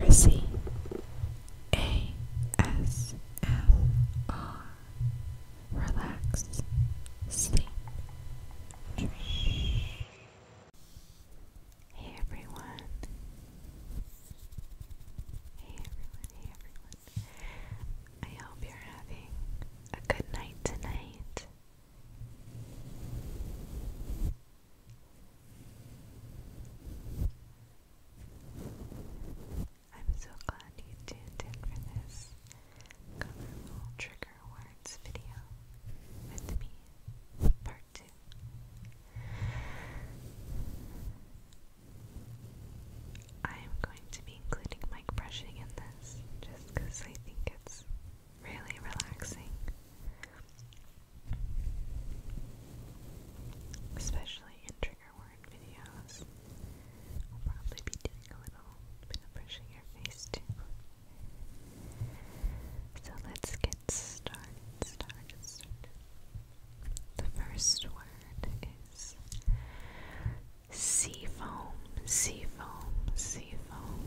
Mercy Relax Sleep Dream Hey everyone Hey everyone, hey everyone. I hope you're having a good night tonight. I'm so glad you tuned in for this colorful trigger words video with me, part two. I am going to be including mic brushing in this just because I think it's really relaxing, especially in trigger word videos. I'll probably be doing a little bit of brushing your face too. So let's get started, The first word is seafoam, seafoam, seafoam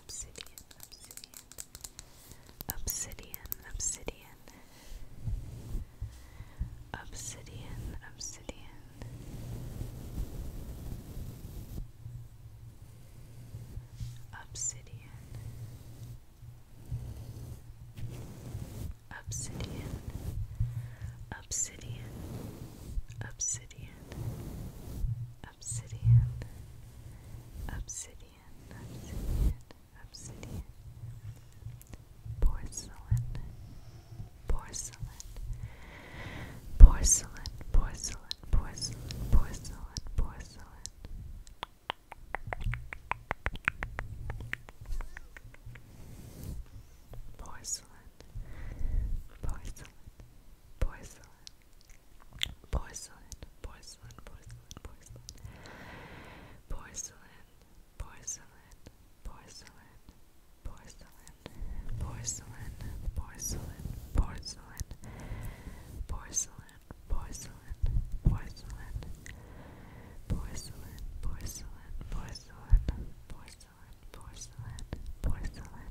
obsidian, obsidian, obsidian, obsidian, obsidian, obsidian. Obsidian Obsidian Obsidian obsidian, obsidian, obsidian, obsidian, porcelain, porcelain, porcelain, porcelain, porcelain, porcelain, porcelain. Porcelain, porcelain, porcelain, porcelain, porcelain, porcelain, porcelain, porcelain, porcelain, porcelain, porcelain, porcelain, porcelain, porcelain, porcelain, porcelain, porcelain, porcelain, porcelain, porcelain, porcelain, porcelain, porcelain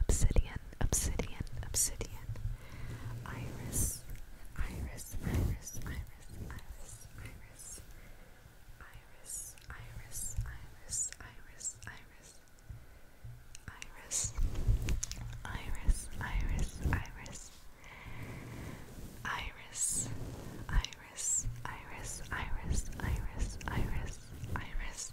obsidian, obsidian, obsidian, iris, iris, iris, iris, iris, iris, iris, iris, iris, iris, iris. Iris, iris, iris, iris, iris, iris, iris, iris, iris, iris, iris, iris,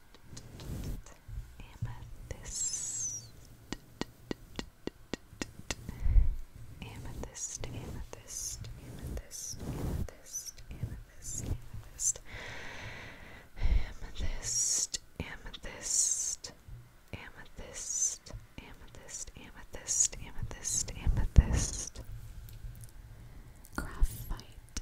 amethyst, amethyst, amethyst, amethyst, amethyst, amethyst, amethyst, amethyst, amethyst, amethyst, amethyst, amethyst, amethyst, amethyst, graphite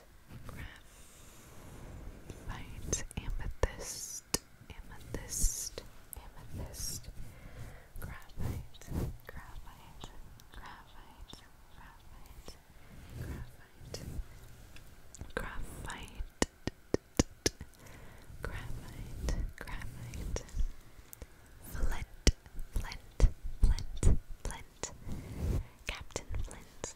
graphite, amethyst, amethyst, amethyst, graphite, graphite, graphite, graphite, graphite, graphite, graphite, graphite, flint, flint, flint, flint, Captain Flint,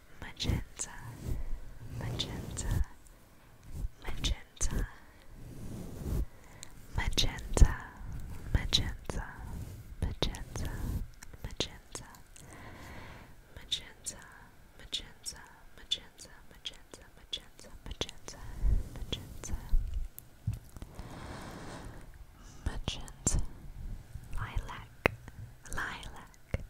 magenta, magenta, magenta, magenta, magenta, magenta, magenta, magenta, magenta, magenta, magenta, magenta, magenta, magenta. Magenta, lilac, lilac,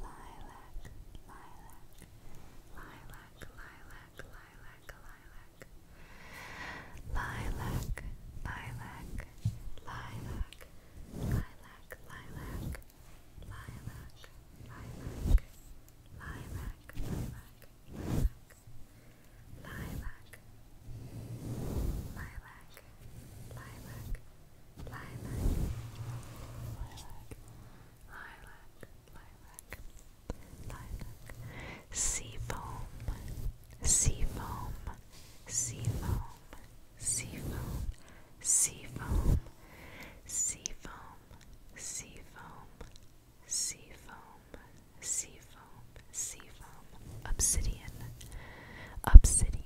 lilac, lilac, lilac, lilac, lilac, lilac, lilac, lilac, lilac, lilac, lilac, lilac, lilac, lilac, lilac. Lilac, lilac, lilac, lilac, lilac, lilac, lilac, lilac, sea foam, sea foam, sea foam, sea foam, sea foam, sea foam, sea foam, sea foam, sea foam, sea foam, obsidian, obsidian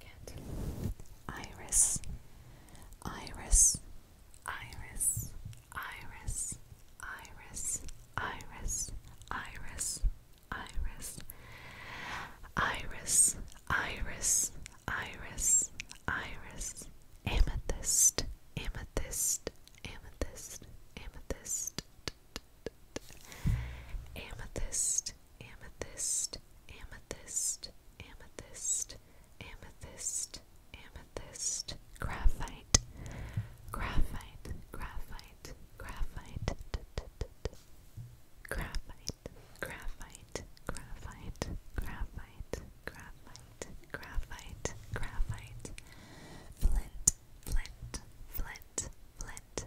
Cat. Iris. Iris. Iris. Iris. Iris. Iris. Iris. Iris. Iris. Iris. Iris. Iris. Amethyst. Amethyst. Amethyst. Amethyst. Amethyst. Amethyst. Amethyst. Amethyst amethyst, amethyst, graphite, graphite, graphite, graphite, graphite, graphite, graphite, graphite, graphite, graphite, graphite, flint, flint, flint, flint,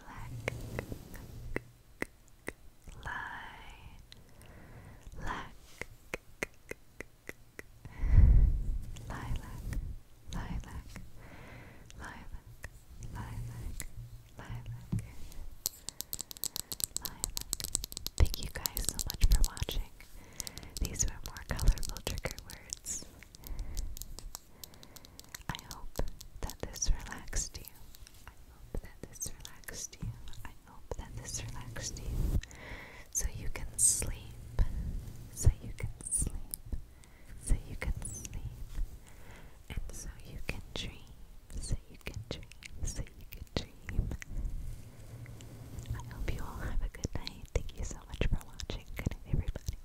lilac lilac lilac lilac lilac lilac lilac thank you guys so much for watching these were more colorful trigger words I hope that this relaxed you. I hope that this relaxed you. I hope that this relaxed you. So you can sleep. So you can sleep. So you can sleep. And so you can dream. So you can dream. So you can dream. I hope you all have a good night. Thank you so much for watching. Good night, everybody.